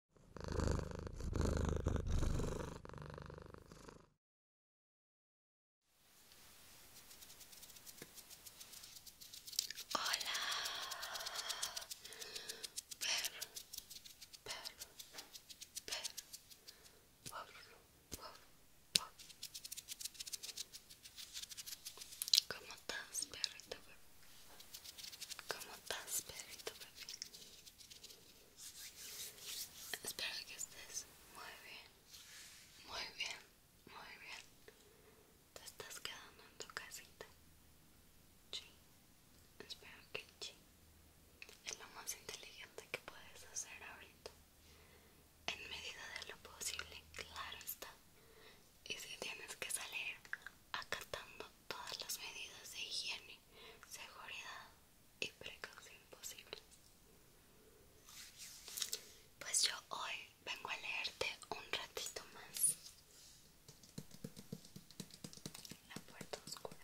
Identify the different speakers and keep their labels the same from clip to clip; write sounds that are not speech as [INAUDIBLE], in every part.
Speaker 1: Hola, perro, perro, perro, perro, perro, perro. ¿Cómo estás, perrito, bebé? ¿Cómo estás, perrito, bebé? Espero que estés muy bien, muy bien, muy bien. Te estás quedando en tu casita. espero que sí. Es lo más inteligente que puedes hacer ahorita. En medida de lo posible, claro está. Y si tienes que salir acatando todas las medidas de higiene seguridad y precaución imposible. Pues yo hoy vengo a leerte un ratito más. La puerta oscura.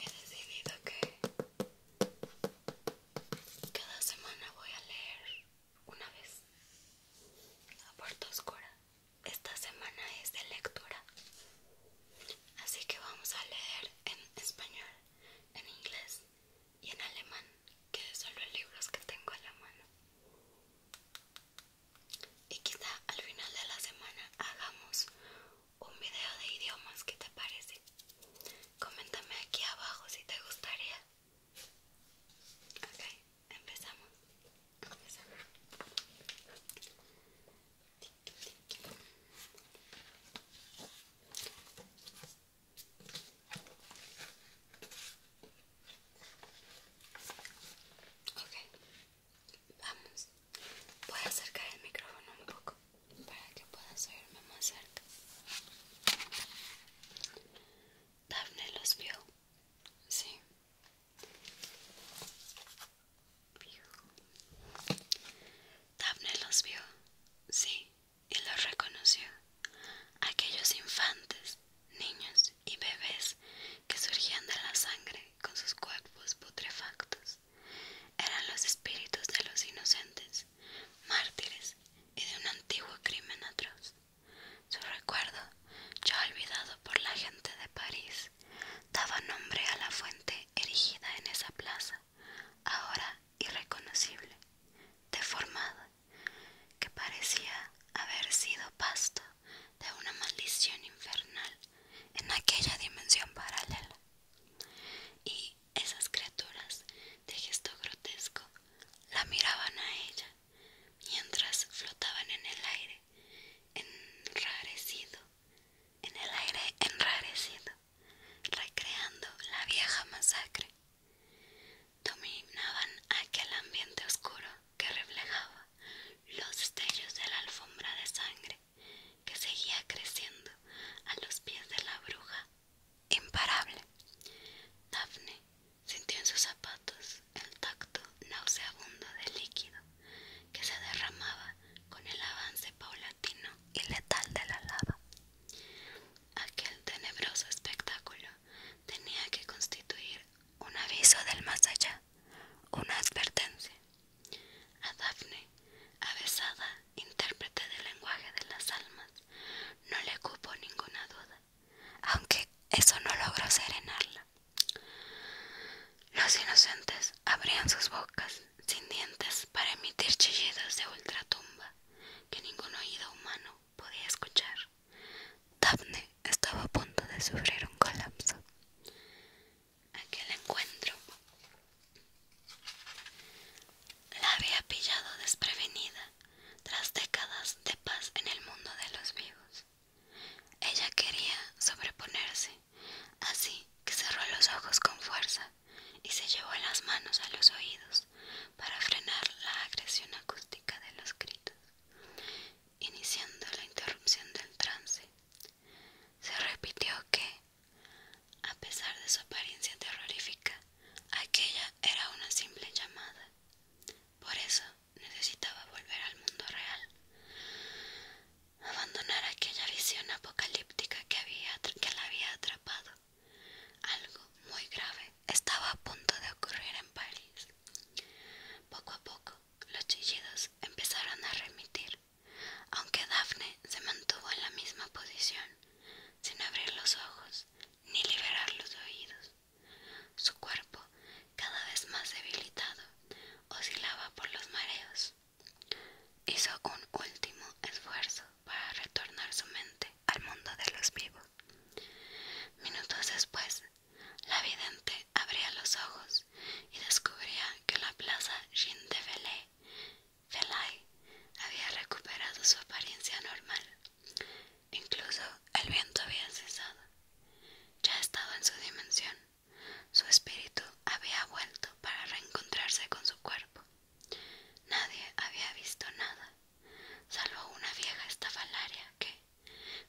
Speaker 1: He decidido que cada semana voy a leer una vez a Puerto oscura. Esta semana es de lectura. Así que vamos a leer en español, en inglés y en alemán, que son los libros que tengo a la mano y quizá al final de la semana hagamos un video de idiomas, ¿qué te parece? Coméntame aquí abajo si te gustaría. Ok, empezamos. empezamos. Okay. Vamos, voy a acercar el micrófono un poco para que puedas oírme más cerca. Daphne los vio, sí. Daphne los vio, sí, y los reconoció. Aquellos infantes, niños y bebés que surgían de la sangre con sus cuerpos putrefactos. Eran los espíritus de los inocentes, mártires y de un antiguo crimen atroz. Su recuerdo, ya olvidado por la gente de París, daba nombre a la fuente erigida en esa plaza, ahora irreconocible, deformada, que parecía haber sido pasto de una maldición infernal en aquella dimensión paralela. Y esas criaturas de gesto grotesco la miraban a ella mientras flotaban en el aire enrarecido, en el aire enrarecido, recreando la vieja masacre. Dominaban aquel ambiente oscuro que reflejaba los destellos de la alfombra de sangre que seguía creciendo a los pies de la bruja imparable. Dafne sintió en sus zapatos el tacto nauseabundo del líquido que se derramaba con el avance paulatino y letal de la lava. Aquel tenebroso espectáculo tenía que constituir un aviso del más allá, una advertencia. A Dafne, avesada, intérprete del lenguaje de las almas, no le cupo ninguna duda, aunque eso no logró serenarla. Los inocentes abrían sus bocas sin dientes para emitir chillidos de ultratumba que ningún oído humano podía escuchar. Daphne estaba a punto de sufrir un colapso. Aquel encuentro. La había pillado desprevenida tras décadas de paz en el mundo de los vivos. Ella quería sobreponerse, así que cerró los ojos con fuerza y se llevó las manos a los oídos para frenar la agresión acústica de los gritos, iniciando la interrupción del trance. Se repitió que, a pesar de su apariencia terrorífica, aquella era una simple llamada. Por eso necesitaba volver al mundo real, abandonar aquella visión apocalíptica que, la había atrapado. Algo muy grave estaba a punto de ocurrir en París. Poco a poco, los chillidos empezaron a remitir aunque Daphne se mantuvo en la misma posición, sin abrir los ojos ni liberar los oídos. Su cuerpo, cada vez más debilitado, oscilaba por los mareos. Hizo un último esfuerzo para retornar su mente al mundo de los vivos. Minutos después, la vidente abría los ojos y descubría que la plaza Jean de había recuperado su apariencia normal. Incluso el viento había cesado. Ya estaba en su dimensión. Su espíritu había vuelto para reencontrarse con su cuerpo. Nadie había visto nada, salvo una vieja estafalaria que,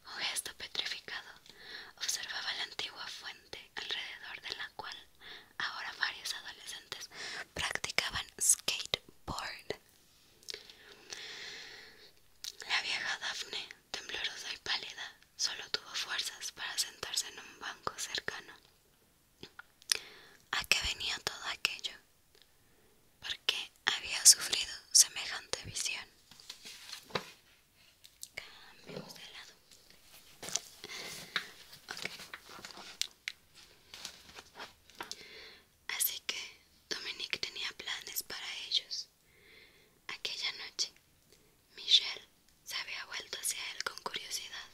Speaker 1: con gesto petrificado, observaba la antigua fuente alrededor de la cual ahora varios adolescentes practicaban skateboard. La vieja Daphne, temblorosa y pálida, solo tuvo fuerzas para sentarse en un banco cercano. ¿A qué venía todo aquello? ¿Por qué había sufrido semejante visión? de lado. Así que Dominique tenía planes para ellos. Aquella noche, Michelle se había vuelto hacia él con curiosidad,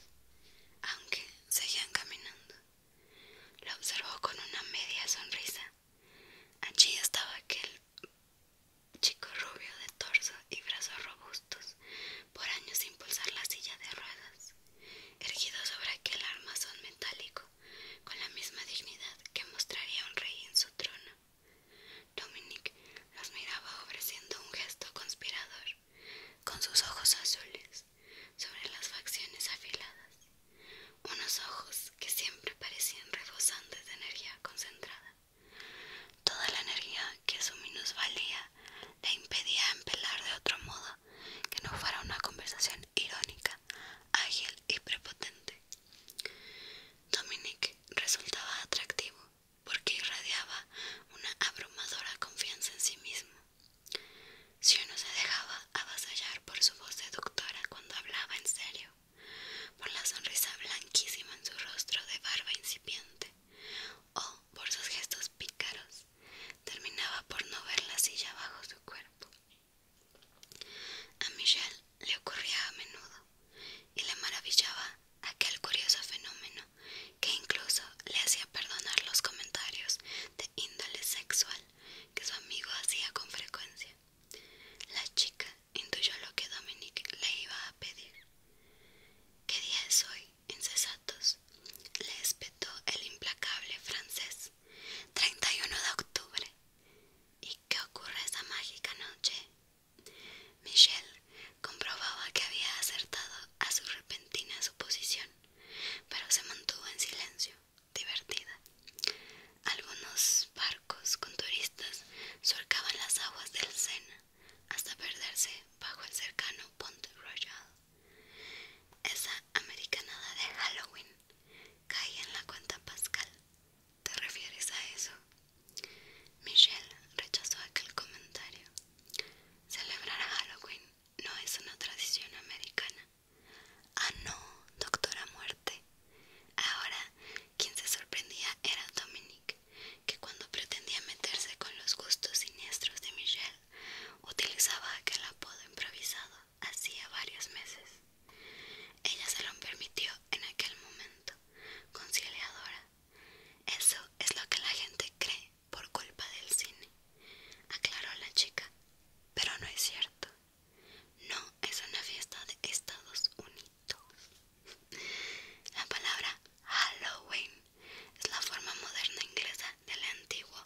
Speaker 1: aunque seguían caminando. Lo observó con una media sonrisa. Allí estaba aquel chico rubio de torso y brazos robustos, por años sin pulsar la silla de ruedas, erguido sobre aquel armazón metálico, con la misma dignidad que mostraría un rey en su trono. Dominic los miraba ofreciendo un gesto conspirador, con sus ojos azules, sobre las facciones afiladas, unos ojos que siempre parecían rebosantes de energía concentrada. Toda la energía que su valía le impedía empelar de otro modo que no fuera una conversación irónica, ágil y prepotente. Dominic resultaba atractivo porque irradiaba una abrumadora confianza en sí mismo. Si uno se dejaba avasallar por su voz seductora cuando hablaba en serio, por la sonrisa blanquísima en su rostro de barba incipiente, o por sus gestos pícaros, terminaba por no ver la silla bajo su cuerpo. A Michelle le ocurría a menudo, y le maravillaba aquel curioso fenómeno que incluso le hacía perdonar los comentarios de índole sexual que su amigo hacía con frecuencia. La chica intuyó lo que Dominique le iba a pedir. ¿Qué día es hoy, incesatos? le espetó el implacable francés. 31 de octubre. ¿Y qué ocurre esa mágica noche? Michelle comprobaba que había acertado a su repentina suposición, pero se mantuvo en silencio, divertida. Algunos barcos con turistas surcaban las aguas del Sena, hasta perderse bajo el cercano Pont Royal. Esa americanada de Halloween cae en la cuenta Pascal. ¿Te refieres a eso? Michelle rechazó aquel comentario. Celebrar Halloween no es una tradición americana. Ah, no, doctora muerte. Ahora, ¿quién se sorprendía era Dominique, que cuando pretendía meterse con los gustos siniestros de Michelle, utilizaba aquel apodo improvisado hacía varios meses. Ella se lo permitió en aquel momento, conciliadora. Eso es lo que la gente cree por culpa del cine, aclaró la chica, pero no es cierto. No es una fiesta de Estados Unidos. La palabra Halloween es la forma moderna inglesa del antiguo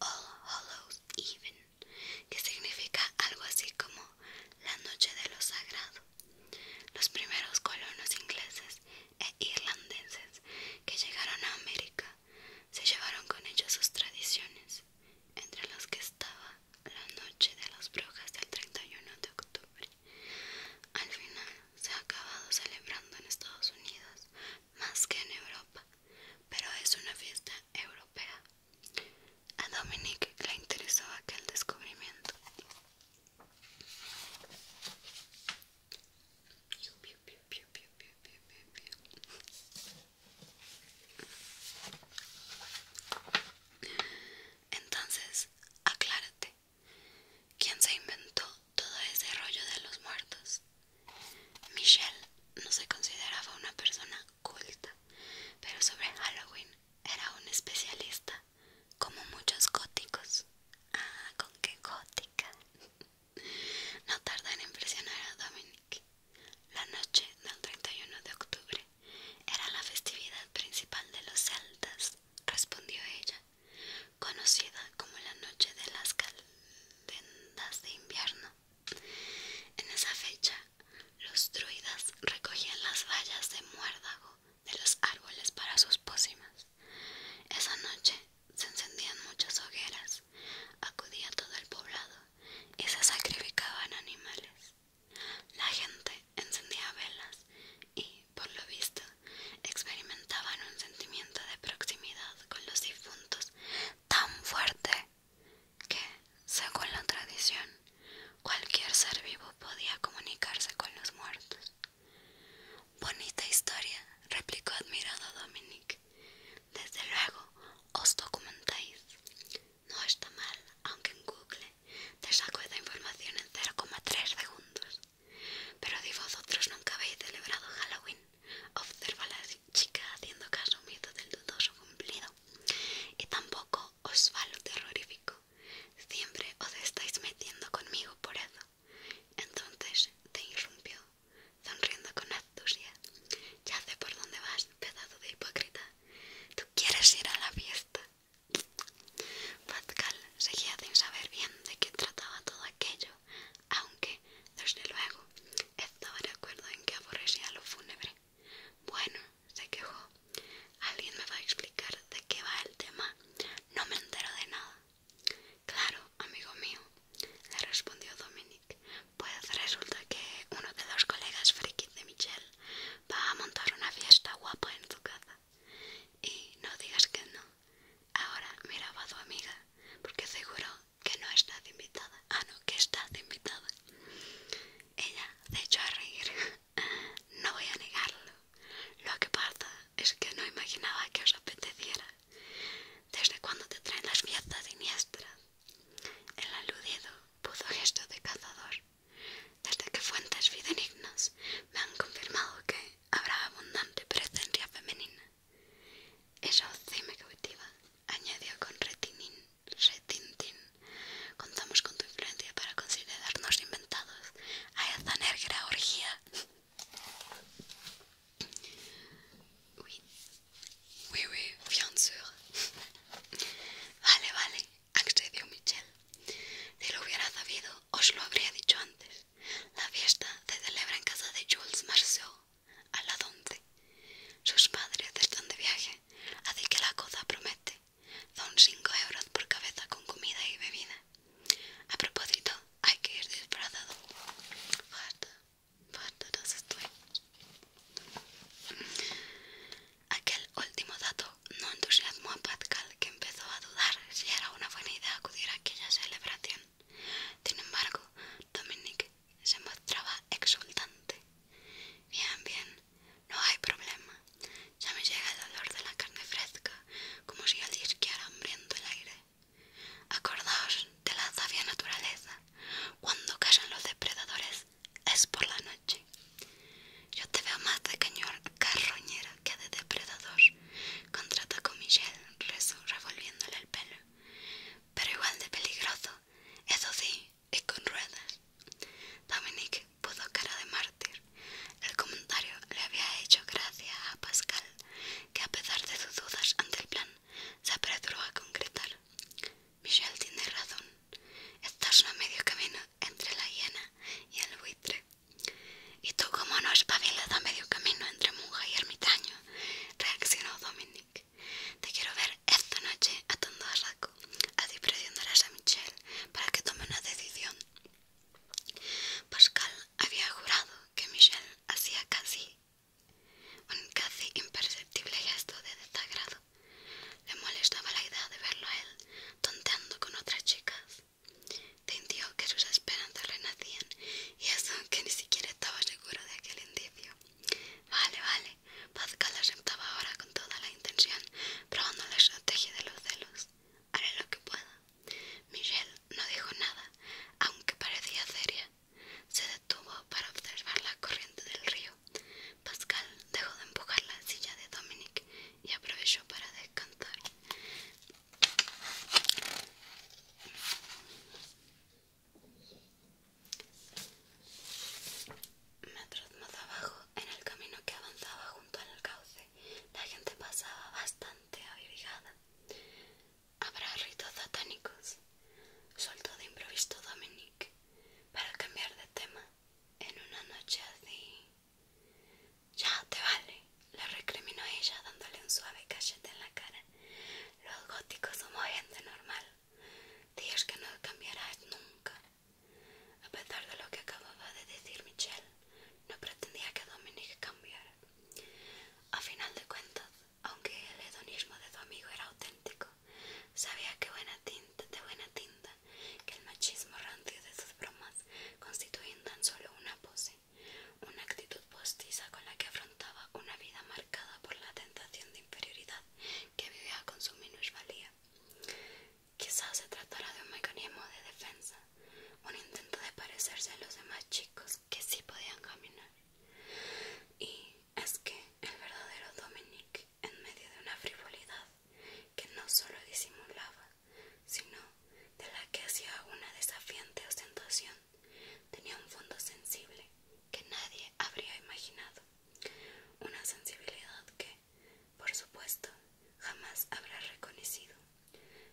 Speaker 1: All Hallows Even, que significa algo así como la noche de lo sagrado. Los primeros colonos ingleses e irlandeses que llegaron a América se llevaron con ellos sus tradiciones, entre las que estaba la noche de las brujas del 31 de octubre. Al final se ha acabado celebrando en Estados Unidos más que en Europa, pero es una fiesta europea. A Dominique le interesó aquel descubrimiento. Entonces, aclárate, ¿Quién se inventó todo ese rollo de los muertos? Michelle no se consideraba una persona culta, pero sobre Halloween era un especialista, como muchos góticos. Ah, con qué gótica. [LAUGHS] No tarda en impresionar a Dominique. La noche del 31 de octubre, era la festividad principal de los celtas, respondió ella, conocida como la noche de las calendas de invierno. En esa fecha, los druidas recogían las vallas de muérdago de los árboles para sus pócimas. Esa noche se encendían muchas hogueras, acudía todo el poblado y se sacrificaban animales. La gente encendía velas y, por lo visto, experimentaban un sentimiento de proximidad con los difuntos tan fuerte que, según la tradición, cualquier ser vivo podía comunicarse con los muertos. Bonita historia, replicó admirado Dominic. Desde luego os documentáis. No está mal, aunque en Google te saco esa información en 0,3 segundos. Pero si vosotros nunca habéis celebrado Halloween, observa la chica haciendo caso omiso del dudoso cumplido. Y tampoco os va lo terrorífico. Siempre os estáis metiendo conmigo por eso. Entonces te irrumpió, sonriendo con astucia. Ya sé por dónde vas, pedazo de hipócrita. Tú quieres ir a la fiesta Pascal seguía sin saber bien de qué trataba todo aquello, aunque, desde luego, estaba de acuerdo en que aborrecía lo fúnebre. Bueno, se quejó, alguien me va a explicar de qué va el tema. No me entero de nada. Claro, amigo mío, le respondió Dominic. Pues resulta que uno de los colegas frikis de Michelle va a montar una fiesta guapa en su casa. Y no digas que no. Ahora mira a tu amiga, porque seguro que no estás invitada. Ah, no, que estás invitada. Ella se echó a reír. [LAUGHS] No voy a negarlo. Lo que pasa es que no imaginaba que os apeteciera. ¿Desde cuando te traen las fiestas siniestras? El aludido puso gesto de cazador. Desde que fuentes fidenignas me han confirmado que habrá abundante presencia femenina. Eso sí cautiva, añadió con retinin, retintín. Contamos con tu influencia para considerarnos inventados a esta negra orgía. [LAUGHS] [LAUGHS] Vale, vale, accedió Michel. Si lo hubiera sabido, os lo habría dicho antes. La fiesta se celebra en casa de Jules Marceau a las once. Sus padres están de viaje, así que la cosa promete. Son cinco euros por cabeza con comida y bebida. A propósito, hay que ir disfrazado. Basta, basta, no estoy. Aquel último dato no entusiasmó a Pascal, que empezó a dudar si era una buena idea acudir a aquella celebración. Sin embargo, Dominique se mostraba exultante. Bien, bien, no hay problema. Ya me llega el olor de la carne fresca, como si al disqueara hambriento el aire. Acordaos de la sabia naturaleza. Cuando callan los depredadores es por la noche. Yo te veo más de cañón carroñera que de depredador, contrata con Michelle, revolviéndole el pelo. Pero igual de peligroso, eso sí, y con ruedas. Dominique puso cara de mártir. El comentario le había hecho gracia a Pascal, que a pesar de sus dudas ante el plan, se apresuró a concretar. Michelle tiene razón. Estás a medio camino entre la hiena y el buitre. Y tú, como no espabilas a medio camino entre monja y ermitaño, reaccionó Dominique Te quiero ver esta noche atando a Raco así presionarás a Michelle para que tome una decisión. Pascal había jurado que Michelle hacía casi un casi imperceptible gesto de desagrado. Le molestaba la idea de verlo a él tonteando con otras chicas. Sintió que sus esperanzas renacían y eso que ni siquiera estaba seguro de aquel indicio. Vale, vale. Pascal aceptaba ahora con toda la intención, probando la estrategia de los celos. Haré lo que pueda. Miguel no dijo nada, aunque parecía seria. Se detuvo para observar la corriente del río. Pascal dejó de empujar la silla de Dominic y aprovechó para descansar. Metros más abajo, en el camino que avanzaba junto al cauce, la gente pasaba bastante abrigada. Habrá ritos satánicos, soltó de improviso Dominique para cambiar de tema en una noche así. Ya te vale, le recriminó ella dándole un suave cachete en la cara. Los góticos somos gente normal. Días que no cambiarás nunca. A pesar de lo que acababa de decir Michelle, no pretendía que Dominique cambiara. A final de cuentas, aunque el hedonismo de su amigo era auténtico, sabía que buena tinta, de buena tinta que el machismo rancio de sus bromas constituyen tan solo una pose, una actitud postiza con la que afrontaba una vida marcada por la tentación de inferioridad que vivía con su minusvalía. Quizás se tratara de un mecanismo de defensa, un intento de parecerse a los demás chicos que sí podían caminar. Y es que el verdadero Dominic, en medio de una frivolidad que no solo disimulaba, sino de la que hacía una desafiante ostentación, tenía un fondo sensible que nadie habría imaginado, una sensibilidad que, por supuesto, jamás habrá reconocido,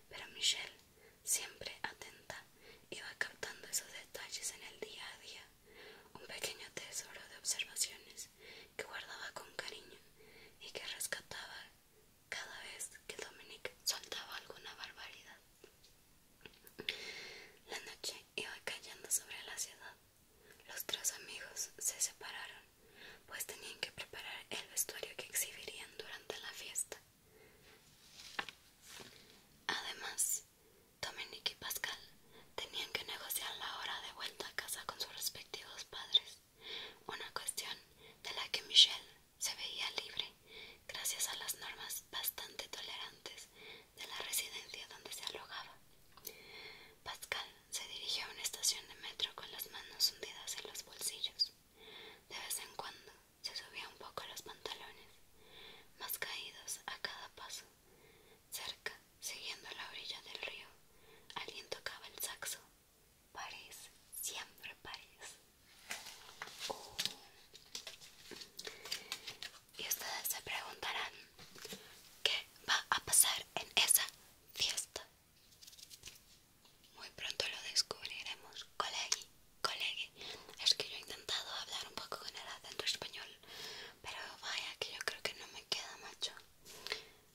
Speaker 1: pero Michelle, siempre atenta, iba captando esos detalles en el día a día, un pequeño tesoro de observaciones que guardaba con cariño y que rescataba cada vez que Dominique soltaba alguna barbaridad. La noche iba cayendo sobre la ciudad. Los tres amigos se separaron, pues tenían que preparar el vestuario que exhibirían durante la fiesta. Además, Dominique y Pascal tenían que negociar la hora de vuelta a casa con sus respectivos padres una cuestión de la que Michelle se veía libre gracias a las normas bastante tolerantes de la residencia donde se alojaba. Pascal se dirigió a una estación de metro con las manos hundidas en los bolsillos. De vez en cuando se subía un poco los pantalones, más caídos a cada paso. Cerca, siguiendo la orilla del río, alguien tocaba el saxo París, siempre París. Y ustedes se preguntarán, ¿qué va a pasar en esa fiesta? Muy pronto lo descubriremos, colegi, colegi. Es que yo he intentado hablar un poco con el acento español, pero vaya que yo creo que no me queda, macho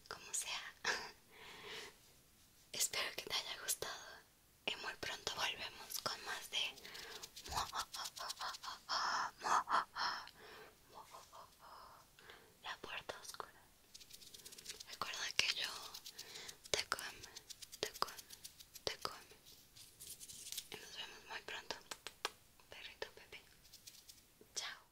Speaker 1: como sea. [LAUGHS] Espero que te haya gustado y muy pronto volvemos con más de la puerta oscura. Recuerda que yo te come, te come, te come. Y nos vemos muy pronto, perrito bebé. Chao.